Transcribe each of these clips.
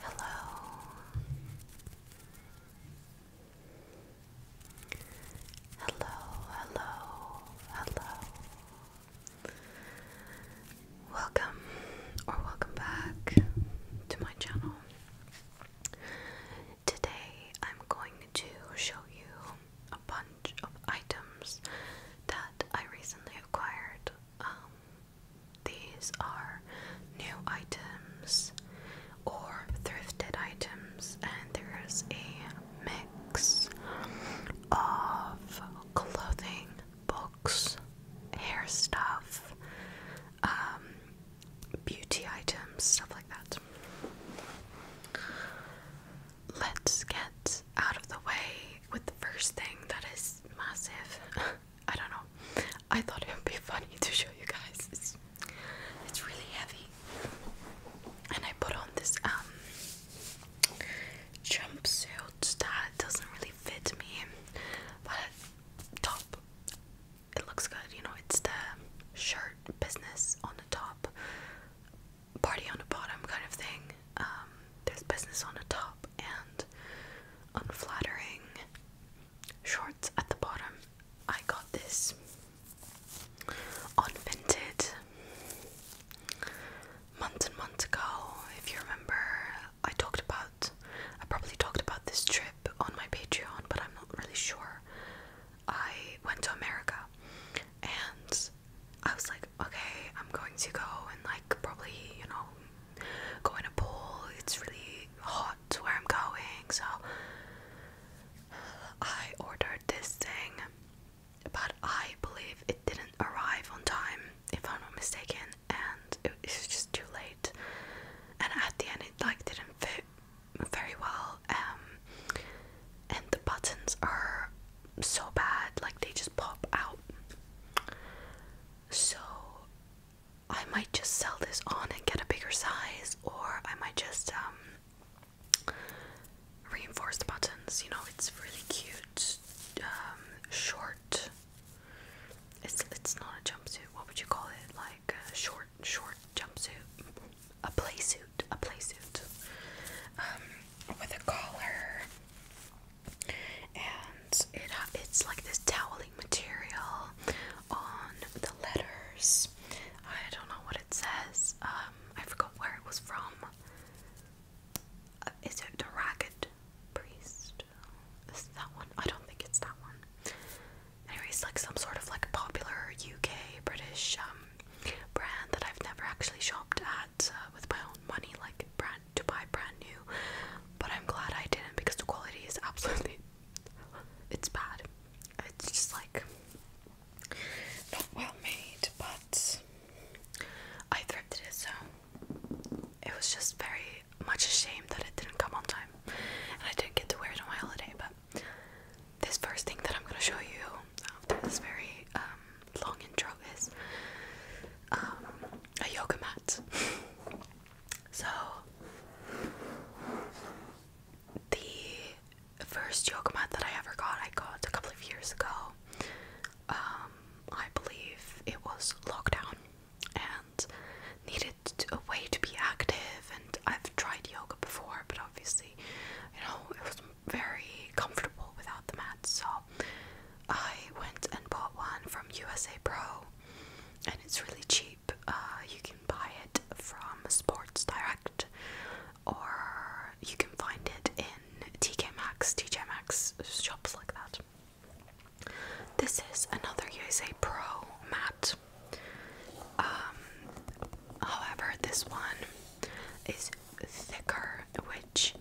Hello. Hello, hello, hello. Welcome or welcome back to my channel. Today I'm going to show you a bunch of items that I recently acquired. Um, these are new items or thrifted items, and there's a mix of clothing, books, hair stuff, um, beauty items, stuff like that. Let's get out of the way with the first thing that is massive. I don't know. I thought it would be funny to show you guys. It's, really heavy. And I put on this um, jumpsuit that doesn't really fit me. But top it looks good, you know, it's the shirt business on the top party on the bottom kind of thing. Um, there's business on the top and unflattering shorts at the bottom. I got this on Vinted months and If you remember, I talked about, I probably talked about this trip on my Patreon, but I'm not really sure. I went to America and I was like, okay, I'm going to go and like probably, you know, go in a pool. It's really hot to where I'm going, so I ordered this thing, but I believe it didn't arrive on time, if I'm not mistaken, and it was just too late. And at the end, it like didn't fit very well. Um, and the buttons are so bad, like they just pop out. So I might just sell this on and get a bigger size, or I might just um, reinforce the buttons. You know, it's really cute, um, short. It's it's not a jumpsuit. What would you call it? Like a short, short jumpsuit, a playsuit, a playsuit. Um, with a collar, and it it's like this toweling material on the letters. I don't know what it says. Um, I forgot where it was from. Uh, is it the Ragged Priest? Is that one? I don't think it's that one. Anyway, like some sort of like popular UK British um brand that I've never actually shopped at uh, with my own money, like brand to buy brand new. But I'm glad I didn't because the quality is absolutely it's bad. It's just like not well made, but I thrifted it, so it was just very much a shame that it didn't come on time, and I didn't get to wear it on my holiday. But this first thing that I'm gonna show you after this very um, long intro is um, a yoga mat. so, the first yoga mat that I ever got, I got a couple of years ago. Um, I believe it was lockdown and needed a way to be active and I've tried yoga before but obviously you know it was very comfortable without the mat, so I went and bought one from USA Pro, and it's really cheap. Uh, you can buy it from Sports Direct, or you can find it in TK Maxx, TJ Maxx shops like that. This is another USA Pro mat. Um, however, this one is thicker, which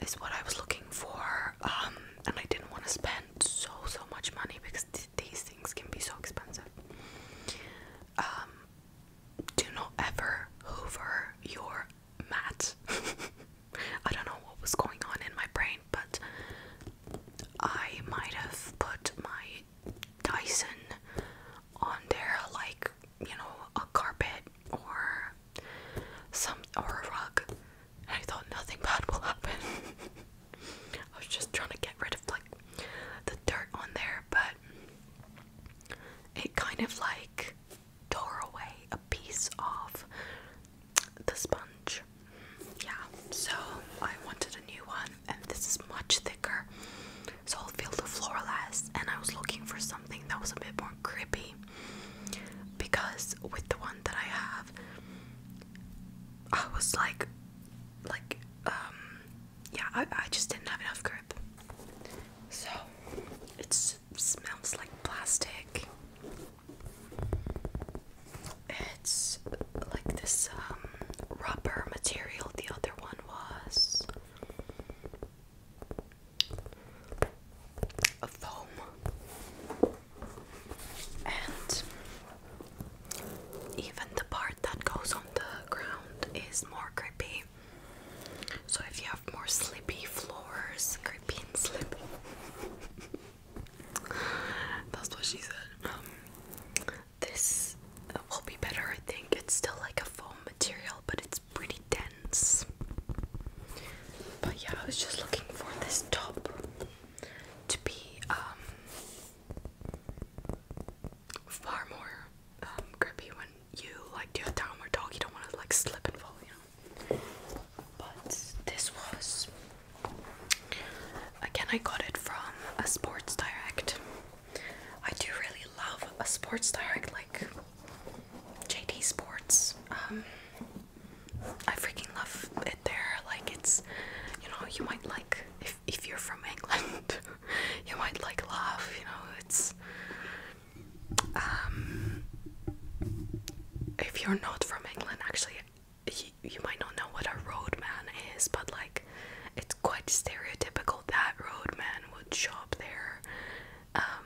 is what I was looking for. Um, and I didn't want to spend so so much money because these things can be so expensive. Um, do not ever hover your mat. I don't know what was going on in my brain, but I might have put my Dyson on there like you know, a carpet or some or a rug. I thought nothing bad will happen. I was just trying to get rid of like the dirt on there, but it kind of like tore away a piece of the sponge. Yeah, so I wanted a new one, and this is much thicker. So I'll feel the floor last, and I was looking for something that was a bit more grippy because with the one that I have, I was like, like, um, yeah, I, I just didn't have enough grip. So it smells like plastic. It's like this um, rubber material. The other one was a foam and even the part that goes on the ground is more grippy so if you have more slippy floors grippy and that's what she said um, this this will be better, I think. It's still like a foam material, but it's pretty dense. But yeah, I was just looking for this top to be um, far more um, grippy when you like do a downward dog. You don't want to like slip and fall, you know. But this was again, I got it from a Sports Direct. I do really love a sports direct like JD Sports. Um, I freaking love it there. Like it's, you know, you might like if if you're from England, you might like love. You know, it's. Um, if you're not from England, actually, you, you might not know what a roadman is, but like it's quite stereotypical that roadman would shop there. Um,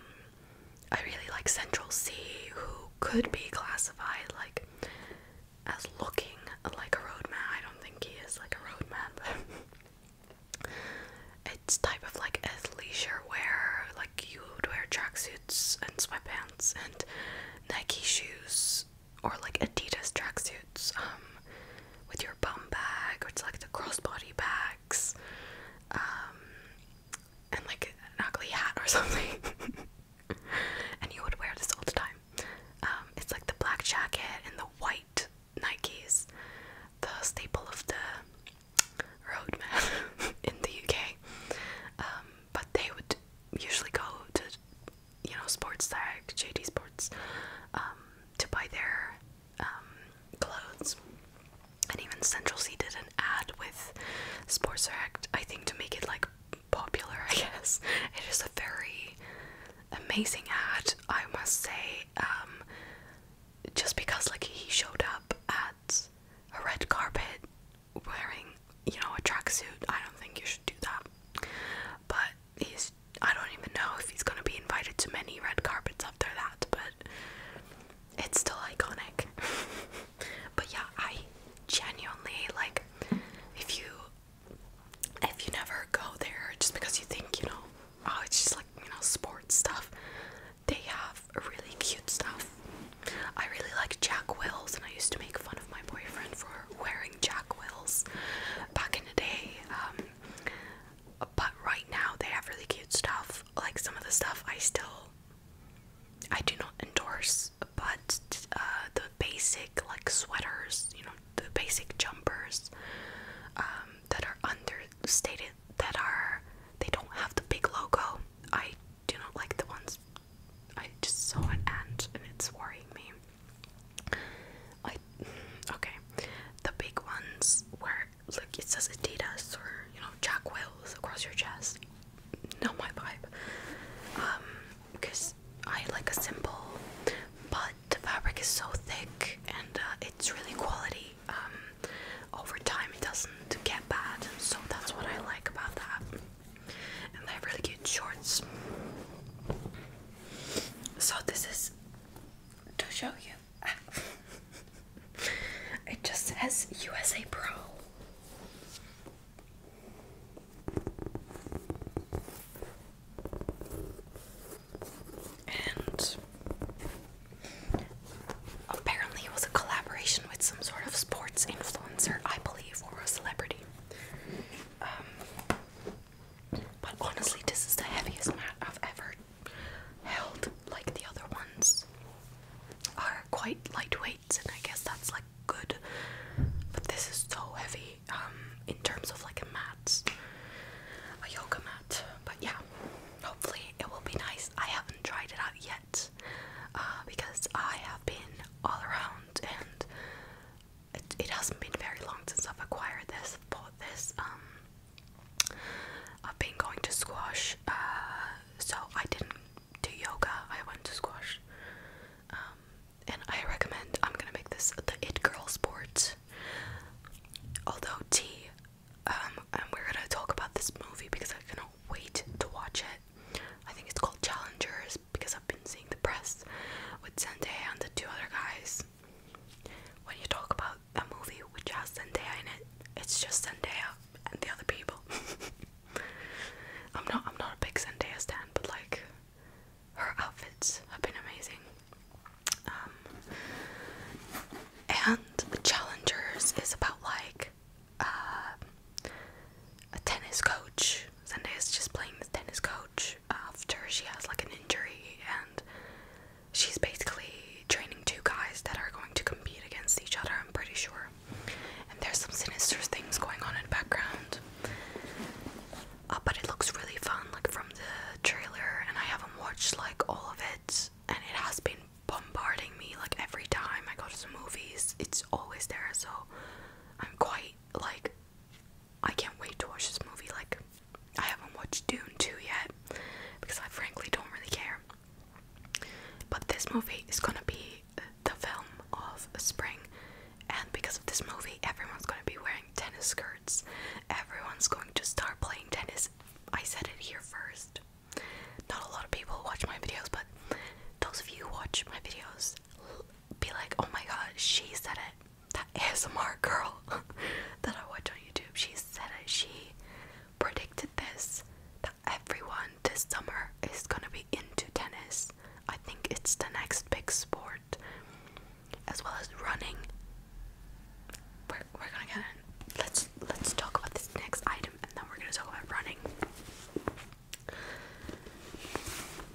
I really like Central C, who could be classified like as looking like a roadman. I don't think he is like a roadman, but it's type of like athleisure wear, like you would wear tracksuits and sweatpants and Nike shoes or like Adidas tracksuit um, with your bum bag or it's like the crossbody bags um, and like an ugly hat or something and you would wear this all the time um, it's like the black jacket and the white nikes the staple of the roadman in the uk but they would usually go to you know sports tag jd sports to buy their um, clothes. And even Central C did an ad with Sports Direct, I think, to make it like popular, I guess. It is a very amazing ad, I must say. Um, just because, like, he showed up at a red carpet wearing, you know, a tracksuit, I don't think you should do that. But he's I don't even know if he's gonna be invited to many red carpets after that, but it's still iconic. but yeah, I genuinely like if you if you never go there just because you think, you know, oh it's just like, you know, sports stuff. They have really cute stuff. I really like Jack Wills and I used to make fun of my boyfriend for wearing Jack Wills back in the day. Um but right now they have really cute stuff. Like some of the stuff I still I do not endorse, but uh, the basic like sweaters, you know, the basic jumpers um, that are understated, that are they don't have the big logo. I do not like the ones. I just saw an ant and it's worrying me okay. The big ones where look it says Adidas or you know Jack Wales across your chest. Not my vibe. because um, I like a simple, but the fabric is so thick and uh, it's really quality. Um, over time it doesn't get bad, so that's what I like about that. And they have really cute shorts. So this is to show you. it just says USA Pro. And apparently, it was a collaboration with some sort of sports influencer, I believe, or a celebrity. Um, but honestly, this is the heaviest mat I've ever held. Like the other ones are quite lightweight, and I guess that's like good. But this is so heavy um, in terms of like a mat, a yoga mat. But yeah, hopefully it will be nice. I haven't tried it out yet uh, because I have been all around and it, hasn't been very long since I've acquired this. Bought this. Um, I've been going to squash. Uh, so I didn't do yoga. I went to squash. Um, and I recommend. I'm gonna make this the it girl sport. Although tea, um, and we're gonna talk about this movie because I cannot wait to watch it. I think it's called Challengers because I've been seeing the press with Zendaya and the two other guys when you talk about a movie which has Zendaya in it, it's just Zendaya and the other people. I'm not I'm not a big Zendaya stan, but like her outfits have been amazing. Um, and Challengers is about like uh, a tennis coach. is just playing the tennis coach after she has like an injury and she's basically training two guys that are going to compete against each other, I'm pretty sure. And there's some sinister things going on in the background. Uh, but it looks really fun, like from the trailer, and I haven't watched like all of it, and it has been bombarding me like every time I go to the movies, it's always there, so I'm quite like I can't wait to watch this movie. Like, I haven't watched Dune 2 yet because I frankly don't really care. But this movie is gonna be the film of spring, and because of this movie, everyone's gonna be wearing tennis skirts. Everyone's going to start playing tennis. I said it here first. Not a lot of people watch my videos, but those of you who watch my videos be like, oh my god, she said it that ASMR girl that I watch on YouTube, she said that She predicted this that everyone this summer is gonna be into tennis. I think it's the next big sport, as well as running. We're, we're gonna Let's let's talk about this next item, and then we're gonna talk about running.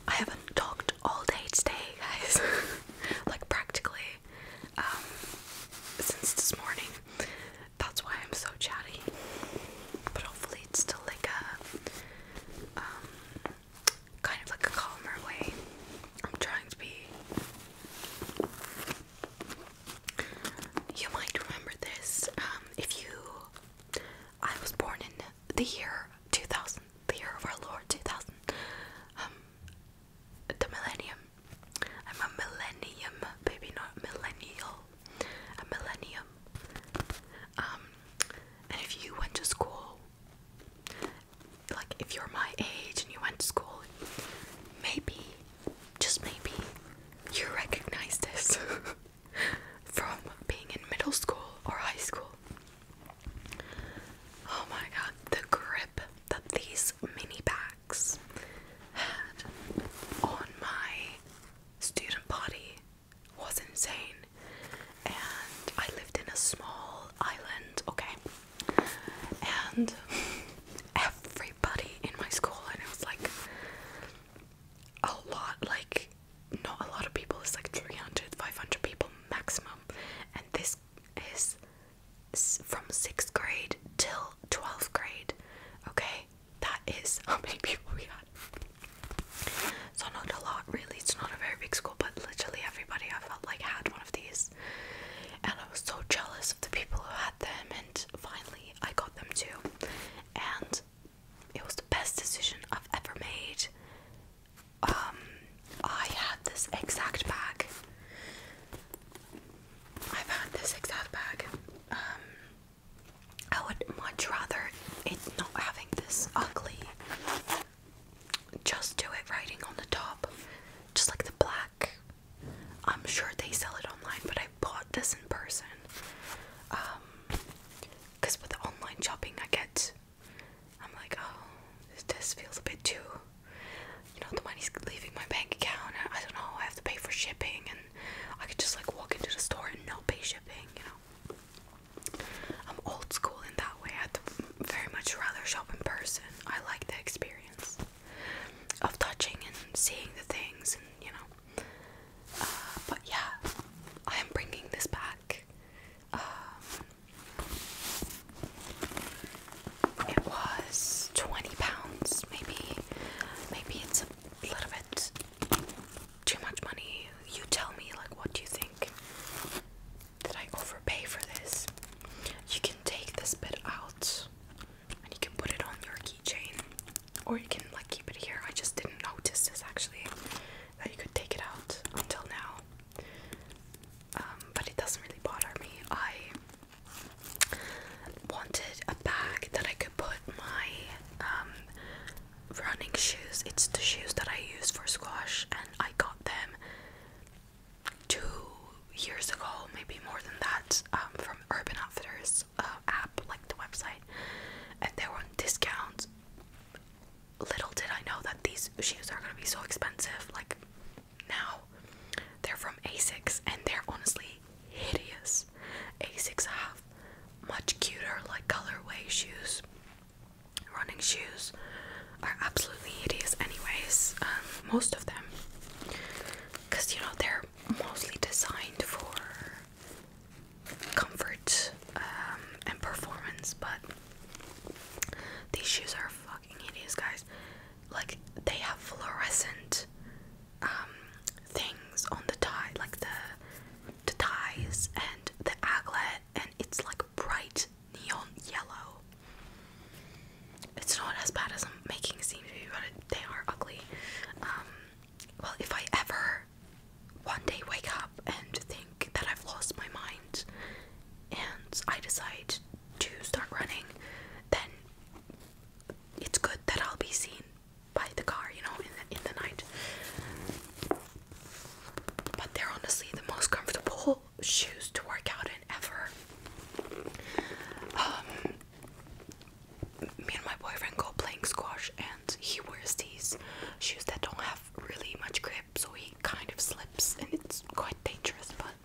I haven't talked all day today, guys. like practically um, since this morning. That's why I'm so chatty. But hopefully, it's still like a um, kind of like a calmer way. I'm trying to be. You might remember this um, if you. I was born in the year 2000 the year of our Lord, 2000, um, the millennium. I'm a millennium, baby, not millennial. A millennium. Um, and if you went to school, like if you're my age and you went to school, maybe, just maybe, you recognize this from being in middle school or high school. Oh my god, the grip that these mini bags had on my student body was insane. And I lived in a small island, okay? And everybody in my school, and it was like a lot, like not a lot of people, it's like 300, 500 people maximum. And this is from sixth grade till 12th grade. Okay, that is how many people we had. So, not a lot really, it's not a very big school, but literally everybody I felt like had one of these. And I was so jealous of the people who had them, and finally I got them too. And it was the best decision I've ever made um, I had this exact bag. I've had this exact bag. Um, I would much rather it not having this ugly. Just do it writing on the top, just like the black. I'm sure they sell it online, but I bought this in person. Um, because with online shopping, I get I'm like, oh, this, this feels a bit too. You know, the money's leaving my bank account. I don't know. I have to pay for shipping, and I could just like walk into the store and not pay shipping. You know, I'm old school in that way. I'd very much rather shop in person. I like the experience of touching and seeing the things, and you know. Uh, but yeah, I am bringing this back. Um, it was 20 pounds, maybe maybe it's a little bit too much money. You tell me like what do you think? Did I overpay for this? You can take this bit out and you can put it on your keychain or you can like keep it here. I just didn't notice this actually that you could take it out until now. Um, but it doesn't really bother me. I wanted a bag that I could put my um, running shoes. It's the shoes that I use for squash, and I got them two years ago, maybe more than that, um, from Urban Outfitters uh, app, like the website, and they were on discount little did I know that these shoes are gonna be so expensive. Like now, they're from Asics and they're honestly hideous. Asics have much cuter, like colorway shoes. Running shoes are absolutely hideous, anyways. Um, most of them, because you know they're mostly designed for comfort um, and performance, but these shoes are fucking hideous, guys. Like they have fluorescent um, things on the tie, like the the ties and the aglet, and it's like bright neon yellow. It's not as bad as I'm making it seem to be, but they are ugly. Um, well, if I ever one day wake up and think that I've lost my mind and I decide to start running, then it's good that I'll be seen by the car, you know, in the, in the night. But they're honestly the most comfortable shoes to work out in ever. Um, me and my boyfriend go playing squash, and he wears these shoes that don't have really much grip, so he kind of slips, and it's quite dangerous. But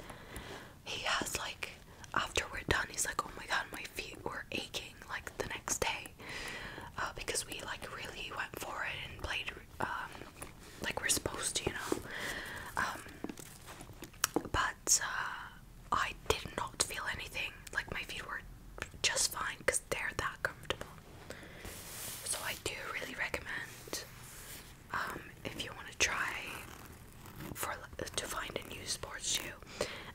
he has like, after we're done, he's like, "Oh my god, my feet were aching!" Like the next day, uh, because we like really went for it and played um, like we're supposed to, you know. Um, but uh, I did not feel anything. Like my feet were just fine because they're that comfortable. So I do really recommend um, if you want to try for to find a new sports shoe.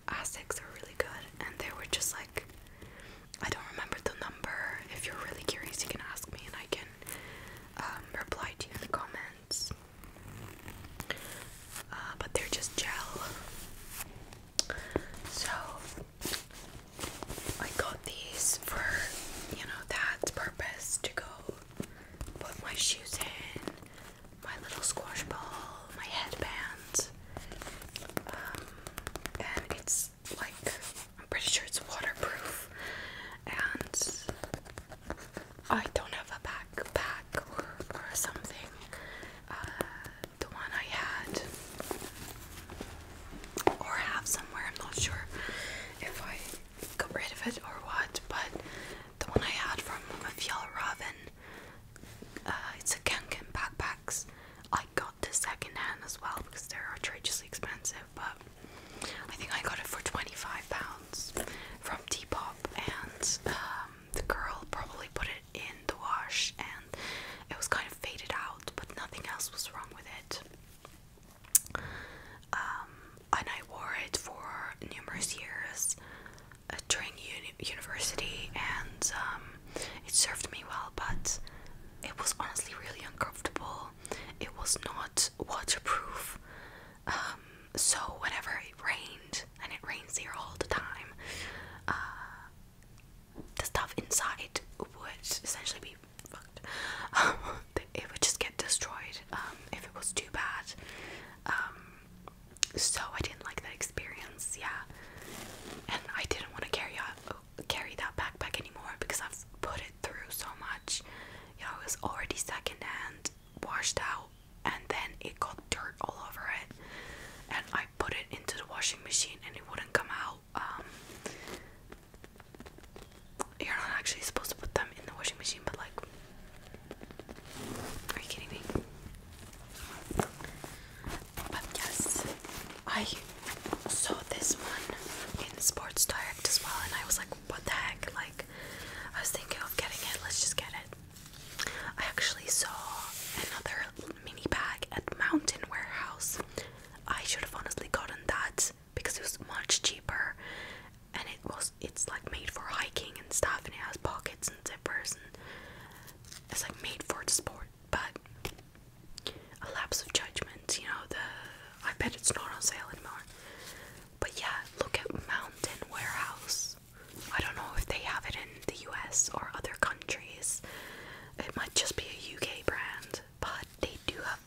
Asics are really good, and they were just like I don't remember the number. If you're really curious, you can ask me, and I can um, reply to you in the comments. Uh, but they're just gel. So I got these for, you know, that purpose to go put my shoes in, my little squash ball, my headbands um, and it's like, I'm pretty sure it's waterproof. And I don't have a backpack or, or something. Uh, the one I had or have somewhere. I'm not sure if I got rid of it or what, but the one I had from Fjall uh, it's a Kanken backpacks. I got this second hand as well because they're outrageously expensive, but I think I got it for 25 pounds from Depop, and um, the girl probably put it in the wash and it was kind of faded out, but nothing else was wrong with it. Um, and I wore it for numerous years uh, during university, and um, it served me well, but it was honestly really uncomfortable. It was not waterproof, um, so whenever it rained, and it rains here all the time, uh, the stuff inside would essentially be fucked. Um, it would just get destroyed um, if it was too bad. Um, so I didn't like that experience, yeah. And I didn't want to carry carry that backpack anymore because I've put it through so much. You it was already secondhand, washed out, and then it got dirt all over it. And I put it into the washing machine, and it wouldn't come out. You're not actually supposed to put them in the washing machine, but like, are you kidding me? But yes, I saw this one in Sports Direct as well, and I was like, what the heck? Like, I was thinking of getting it, let's just get it. I actually saw another mini bag at Mountain Warehouse I should have honestly gotten that because it was much cheaper and it was it's like made for hiking and stuff and it has pockets and zippers and it's like made for the sport but a lapse of judgment, you know, the I bet it's not on sale anymore. But yeah, look at Mountain Warehouse. I don't know if they have it in the US or other countries. It might just be a UK brand but they do have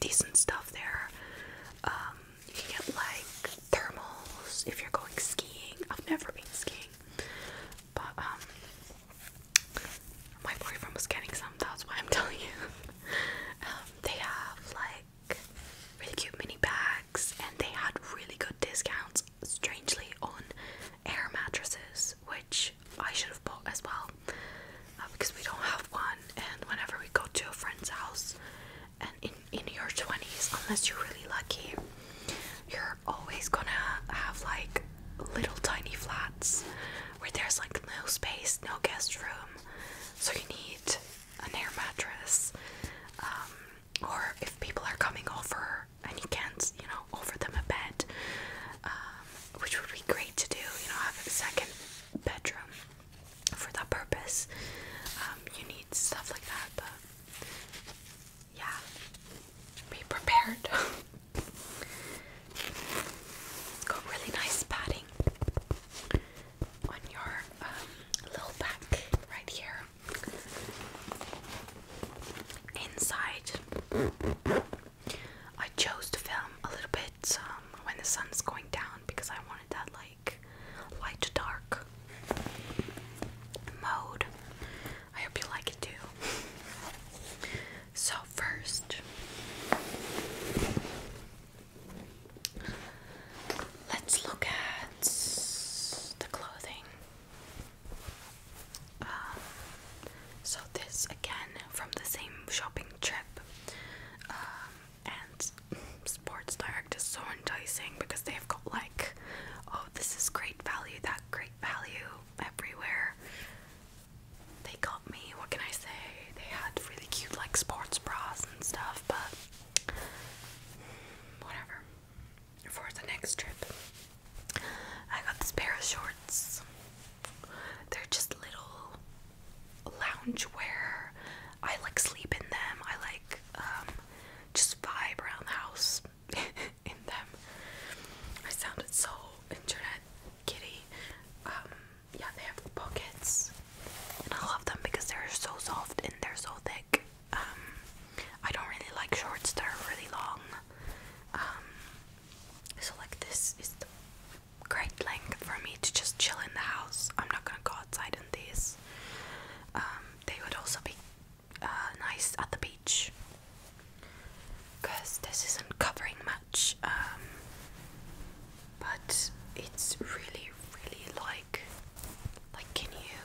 decent stuff there. Um, you can get like thermals if you're going skiing. I've never been skiing, but um, my boyfriend was getting some. That's why I'm telling you. Um, they have like really cute mini bags, and they had really good discounts. Strangely on air mattresses, which I should have bought as well uh, because we don't have one. And whenever we go to a friend's house, and in, in your 20s, unless you're really lucky, you're always gonna have like little tiny flats where there's like no space, no guest room, so you need an air mattress. Um, or if people are coming over and you can't, you know, offer them a bed, um, which would be great to do, you know, have a second bedroom for that purpose. Um, you need stuff like that, but yeah, be prepared. Got really nice padding on your um, little back right here. Inside, I chose to film a little bit um, when the sun's going down because I wanted that like light to dark mode. I hope you like it too. So first, let's look at the clothing. Um, so this again from the same shopping trip, um, and Sports Direct is so enticing because they've got like, oh this is great value, that great value everywhere. They got me. What can I say? They had really cute like sports bras and stuff, but whatever. For the next trip, I got this pair of shorts. They're just little lounge wear. I like sleep in them. I like um, just vibe around the house in them. I sounded so internet kitty. Um, yeah, they have pockets, and I love them because they're so soft and they're so thick. Um, I don't really like shorts that are really long. So like this is the great length for me to just chill in the house. I'm not gonna go outside in these. Um, they would also be uh, nice at the beach because this isn't covering much. Um, but it's really, really like, like can you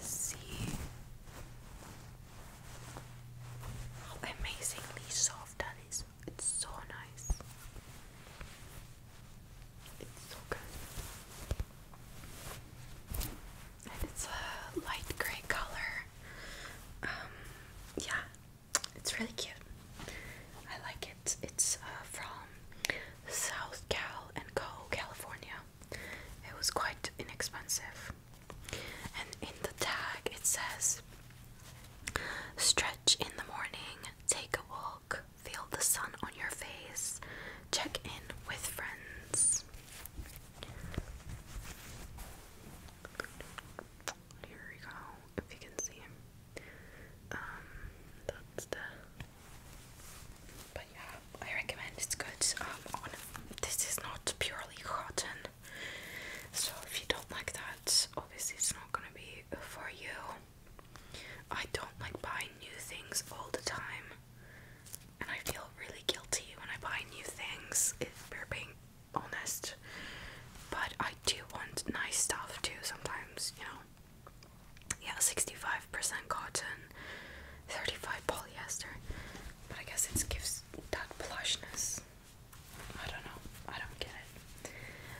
see? amazingly soft that is. It's so nice. It's so good. And it's a light gray color. Um, yeah, it's really cute. I like it. It's uh, from South Cal and Co, California. It was quite inexpensive and in the tag it says stretch in the morning, take a walk, feel the sun on your face, check in with friends. Here we go, if you can see Um, that's the. But yeah, I recommend it's good. Um, this is not purely cotton. So if you don't like that, obviously it's not gonna be for you. I don't like buying new things all the time, and I feel really guilty when I buy new things. If we're being honest, but I do want nice stuff too sometimes, you know. Yeah, 65% cotton, 35 polyester. But I guess it gives that plushness. I don't know. I don't get it.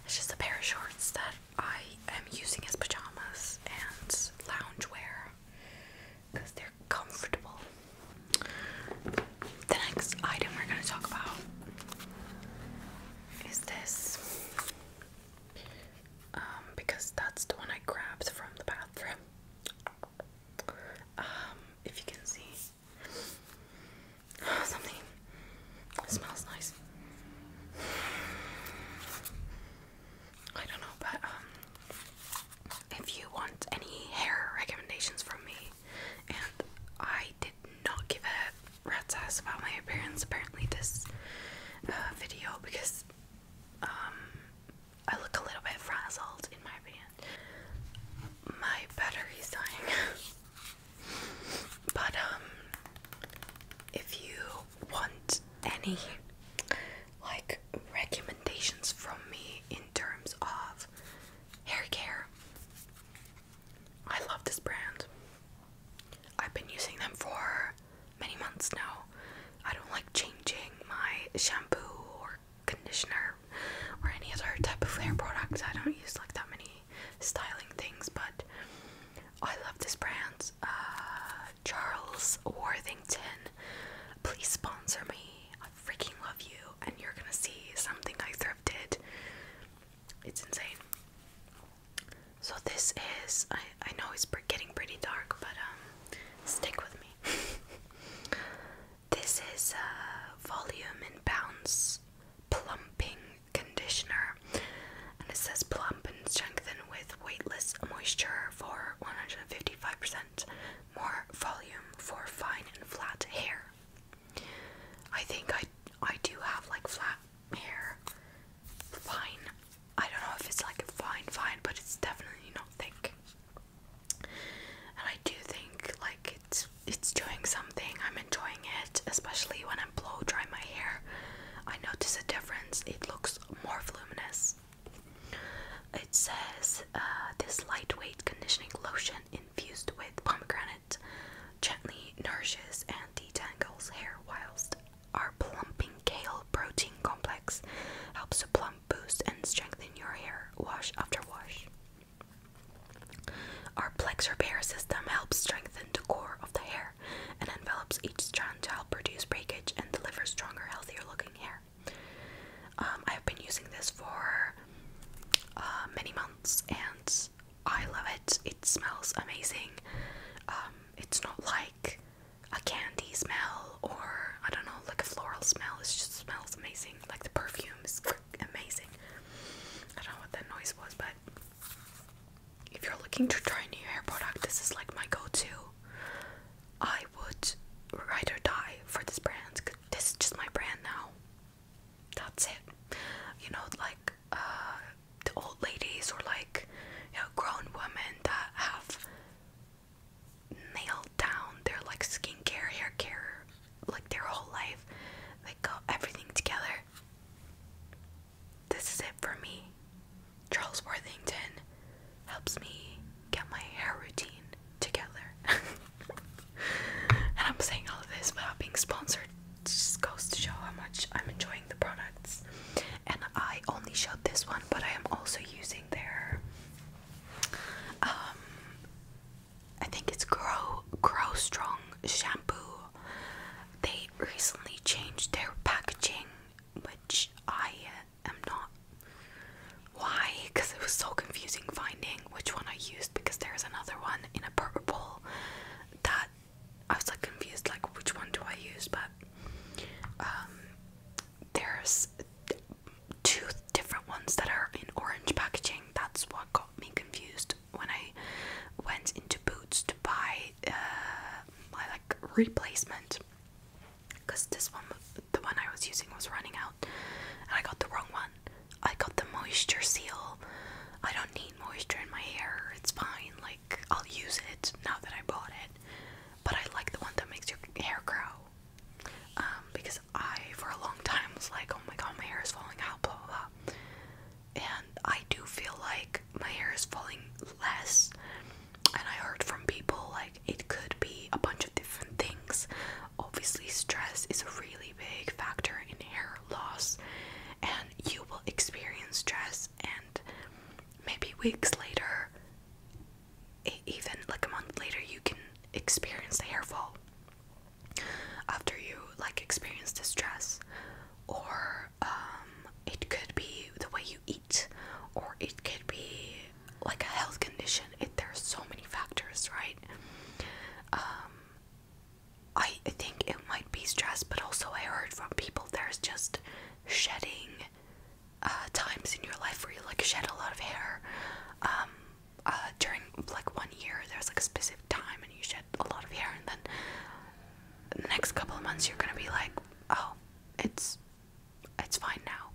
It's just a pair of shorts that I am using as pajamas and loungewear because they're comfortable. The next item we're going to talk about is this um, because that's the one I grabbed from the bathroom. Um, if you can see something smells nice. I don't know, but um, if you want any hair recommendations from me, and I did not give a rat's ass about my appearance apparently this uh, video because um, I look a little bit frazzled, in my opinion. My battery's dying. but, um, if you want any, like, recommendations from me in terms of hair care, I love this brand. I've been using them for many months now. I don't like changing my shampoo or conditioner or any other type of hair products. I don't use like that many styling things, but I love this brand. Uh, Charles Worthington, please sponsor me. I freaking love you, and you're gonna see something I thrifted. It's insane. So this is I I know it's getting pretty dark, but um, stick with me. This is a volume and bounce plumping conditioner, and it says plump and strengthen with weightless moisture for 155% more volume for fine and flat hair. I think I I do have like flat hair, fine. I don't know if it's like fine, fine, but it's definitely not thick. And I do think like it's it's doing something. I'm enjoying it, especially when I blow dry my hair. I notice a difference. It looks more voluminous. It says uh, this lightweight conditioning lotion infused with pomegranate gently nourishes and detangles hair whilst our plumping kale protein complex helps plump boost and strengthen your hair wash after wash. Our Plex repair system helps strengthen the core of the hair and envelops each strand to help reduce breakage and deliver stronger, healthier looking hair. Um, I've been using this for uh, many months and I love it. It smells amazing. Um, it's not like a candy smell or I don't know, like a floral smell. It just smells amazing. Like the perfume is amazing. I don't know what that noise was, but if you're looking to try new hair product, this is like my go-to. I would ride or die for this brand. this is just my brand now. That's it. You know, like uh, the old ladies or like you know, grown women that have nailed down their like skincare, hair care, like their whole life. like, everything together. This is it for me. Charles Worthington helps me get my hair routine together. and I'm saying all of this without being sponsored. just goes to show how much I'm enjoying the products. And I only showed this one, but I am also using their um, I think it's Grow Grow Strong shampoo. They recently changed their packaging, which I am not. Why? Because it was so confusing finding which one I used. Because there's another one in a purple that I was like confused, like which one do I use? But um, there's two different ones that are in orange packaging. That's what got me confused when I went into Boots to buy uh, my like replacement because this one, the one I was using, was running out, and I got the wrong one. I got the moisture seal. I don't need moisture in my hair. It's fine. Like I'll use it now that I bought it. But I like the one that makes your hair grow. Um, because I, for a long time, was like, oh my god, my hair is falling out, blah blah. And I do feel like my hair is falling less. And I heard from people like it could be a bunch of different things. Obviously, stress is a really big factor in hair loss, and you will experience stress, and maybe weeks later, even like a month later you can experience the hair fall after you like experience distress or um it could be the way you eat or it could be like a health condition it there's so many factors right um I think it might be stress but also I heard from people there's just shedding uh, times in your life where you like shed a lot of hair. Um, uh, during like one year, there's like a specific time, and you shed a lot of hair, and then the next couple of months you're gonna be like, oh, it's it's fine now,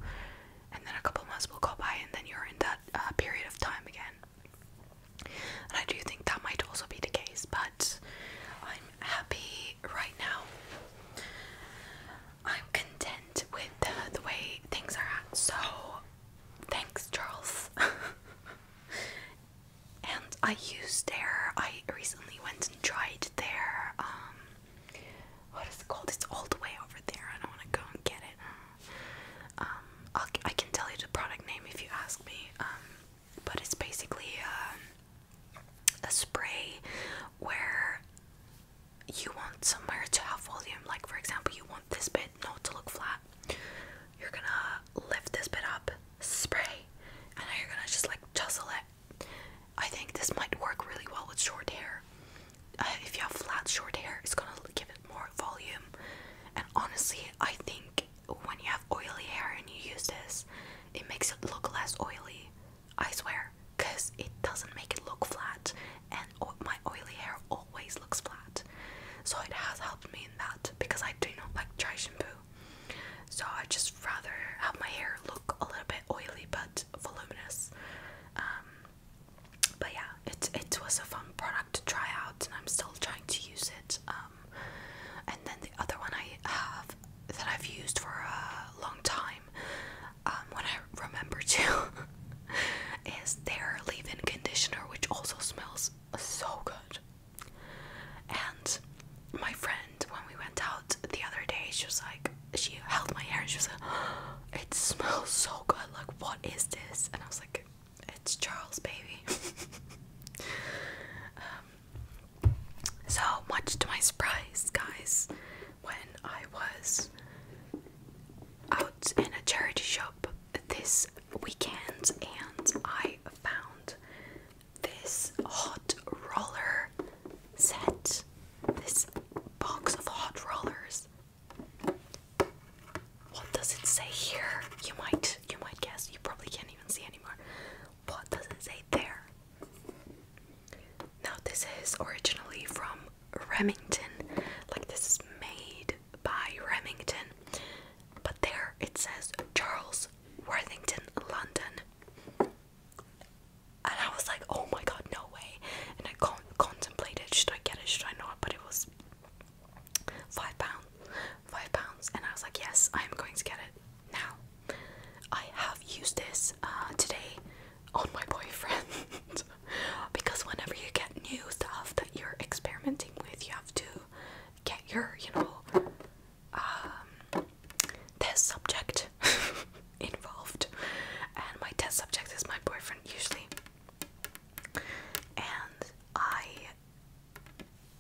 and then a couple of months will go by, and then you're in that uh, period of time again. And I do think that might also be the case, but I'm happy right now. I'm content with the, the way things are at, so thanks, Charles. and I used their, I recently went and tried their, um, what is it called? It's all the way over there. I don't want to go and get it. Um, i can tell you the product name if you ask me. Um, but it's basically a spray where you want somewhere to have volume, like for example, you want this bit not to look flat, you're gonna lift this bit up, spray, and now you're gonna just like tussle it. I think this might work really well with short hair. Uh, if you have flat short hair, it's gonna give it more volume. And honestly, I think when you have oily hair and you use this, it makes it look less oily. I swear, because it doesn't make it look flat, and my oily hair always looks flat. So it has helped me in that because I do not like dry shampoo. So I just rather have my hair look a little bit oily but voluminous. Um, but yeah, it it was a fun product to try out, and I'm still trying to use it. Um, and then the other one I have that I've used for a long time time um, I remember too is their leave-in conditioner which also smells so good and my friend when we went out the other day she was like she held my hair and she was like oh, it smells so good like what is this and I was like it's Charles baby um, so much to my surprise guys when I was out in a charity shop this weekend and I found this hot roller set, this box of hot rollers. What does it say here? You might you might guess. You probably can't even see anymore. What does it say there? Now, this is originally from Remington, like this is made by Remington, but there it says Charles Worthington, London. And I was like, oh my god, no way. And I con contemplated, should I get it, should I not? But it was five pounds, five pounds. And I was like, yes, I am going to get it now. I have used this uh, today on my boyfriend because whenever you get new stuff that you're experimenting with, you have to get your, you know, um, test subject involved. And my test subject is my boyfriend usually. And I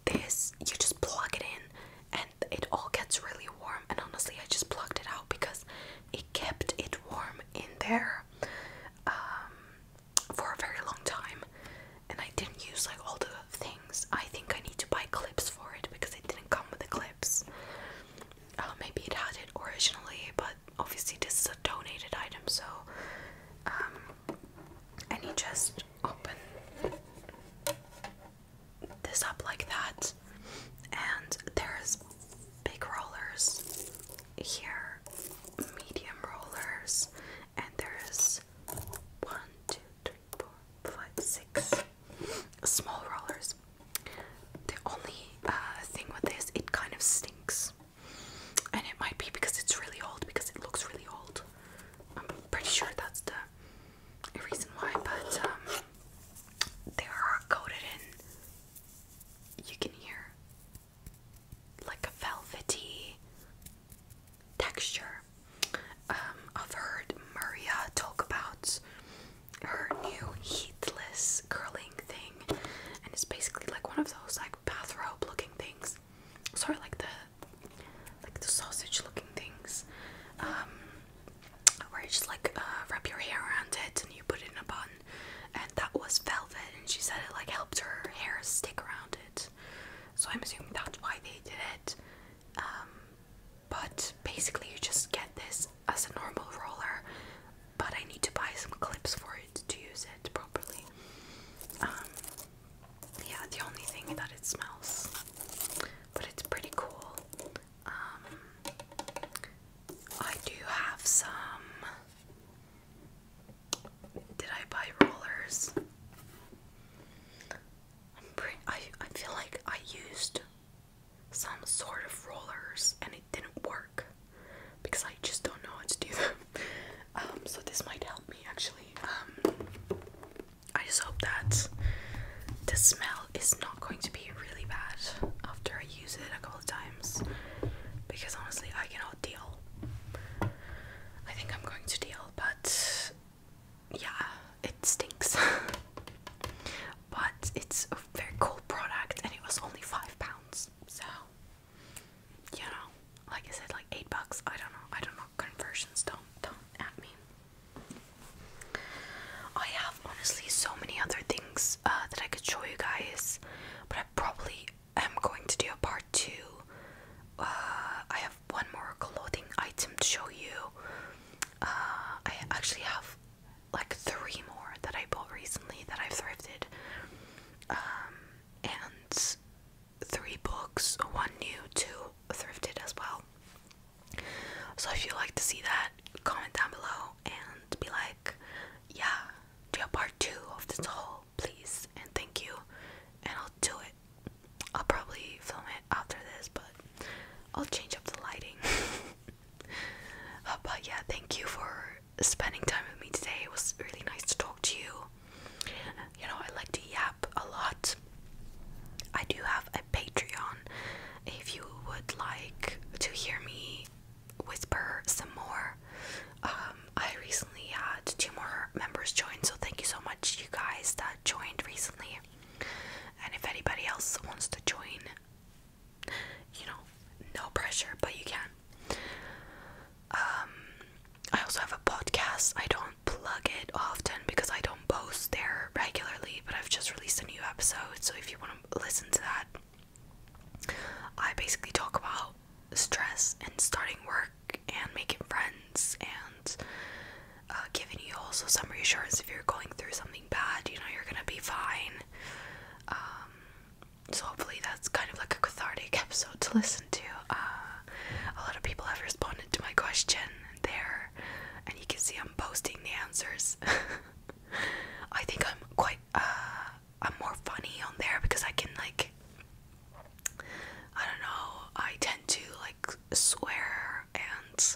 this you just plug it in and it all gets really warm and honestly I just plugged it out because it kept it warm in there um, for a very long time. And I didn't use like all the things. I think I need to buy clips for it because it didn't come with the clips. Uh, maybe it had it originally, but obviously this is a donated item, so. Um, just open this up like that, and there's big rollers here, medium rollers, and there's one, two, three, four, five, six small rollers. The only uh, thing with this, it kind of stinks, and it might be because it's really old because it looks really old. I'm pretty sure that's the a reason why, but um, they are coated in. You can hear like a velvety texture. Um, I've heard Maria talk about her new heatless curling thing, and it's basically like one of those like bathrobe looking things. Sorry, like the like the sausage looking things. Um, where you just like uh, wrap your hair around it and you put it in a bun, and that was velvet. And she said it like helped her hair stick around it, so I'm assuming that's why they did it. Um, but basically, you just get this as a normal roller, but I need to buy some clips for it to use it properly. Um, yeah, the only thing that it smells, but it's pretty cool. Um, I do have some. Did I buy rollers? I'm pretty, I I feel like I used some sort of rollers and it didn't work because I just don't know how to do them. Um, so this might help me actually. Um, I just hope that the smell is not going to be be really bad after I use it a couple of times because honestly, I can all deal. I think I'm going to deal, but yeah, it stinks. but it's a very cool product and it was only five pounds, so you know, like I said, like eight bucks. I don't know, I don't know. Conversions don't don't at me. I have honestly so many other things uh, that I could show you guys, but I probably am going to do a part two. Uh, I have one more clothing item to show you. Uh, I actually have like three more that I bought recently that I've thrifted, um, and three books, one new, two thrifted as well. So if you like to see that, comment down below and be like, yeah, do a part two of this whole, please, and thank you, and I'll do it. I'll probably film it after this, but I'll change up the lighting. Uh, but yeah, thank you for spending time with me today. It was really nice to talk to you. You know, I like to yap a lot. I do have a Patreon if you would like to hear me whisper some more. Um, I recently had two more members join, so thank you so much, you guys that joined recently. And if anybody else wants to join, you know, no pressure, but you can. Um, I also have a podcast. I don't plug it often because I don't post there regularly, but I've just released a new episode, so if you want to listen to that, I basically talk about stress and starting work and making friends and uh, giving you also some reassurance if you're going through something bad, you know, you're gonna be fine. Um, so, hopefully, that's kind of like a cathartic episode to listen to. Uh, a lot of people have responded to my question and there, and you can see I'm posting the answers. I think I'm quite, uh, I'm more funny on there because I can, like, I don't know, I tend to, like, swear and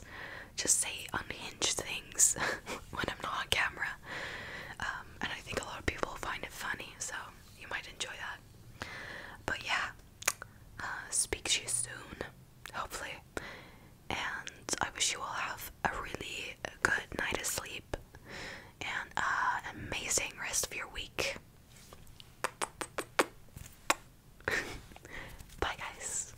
just say unhinged things when I'm not on camera. Um, and I think a lot of people find it funny, so you might enjoy that. But yeah, uh, speak to you soon, hopefully and I wish you all have a really good night of sleep and an uh, amazing rest of your week. Bye, guys.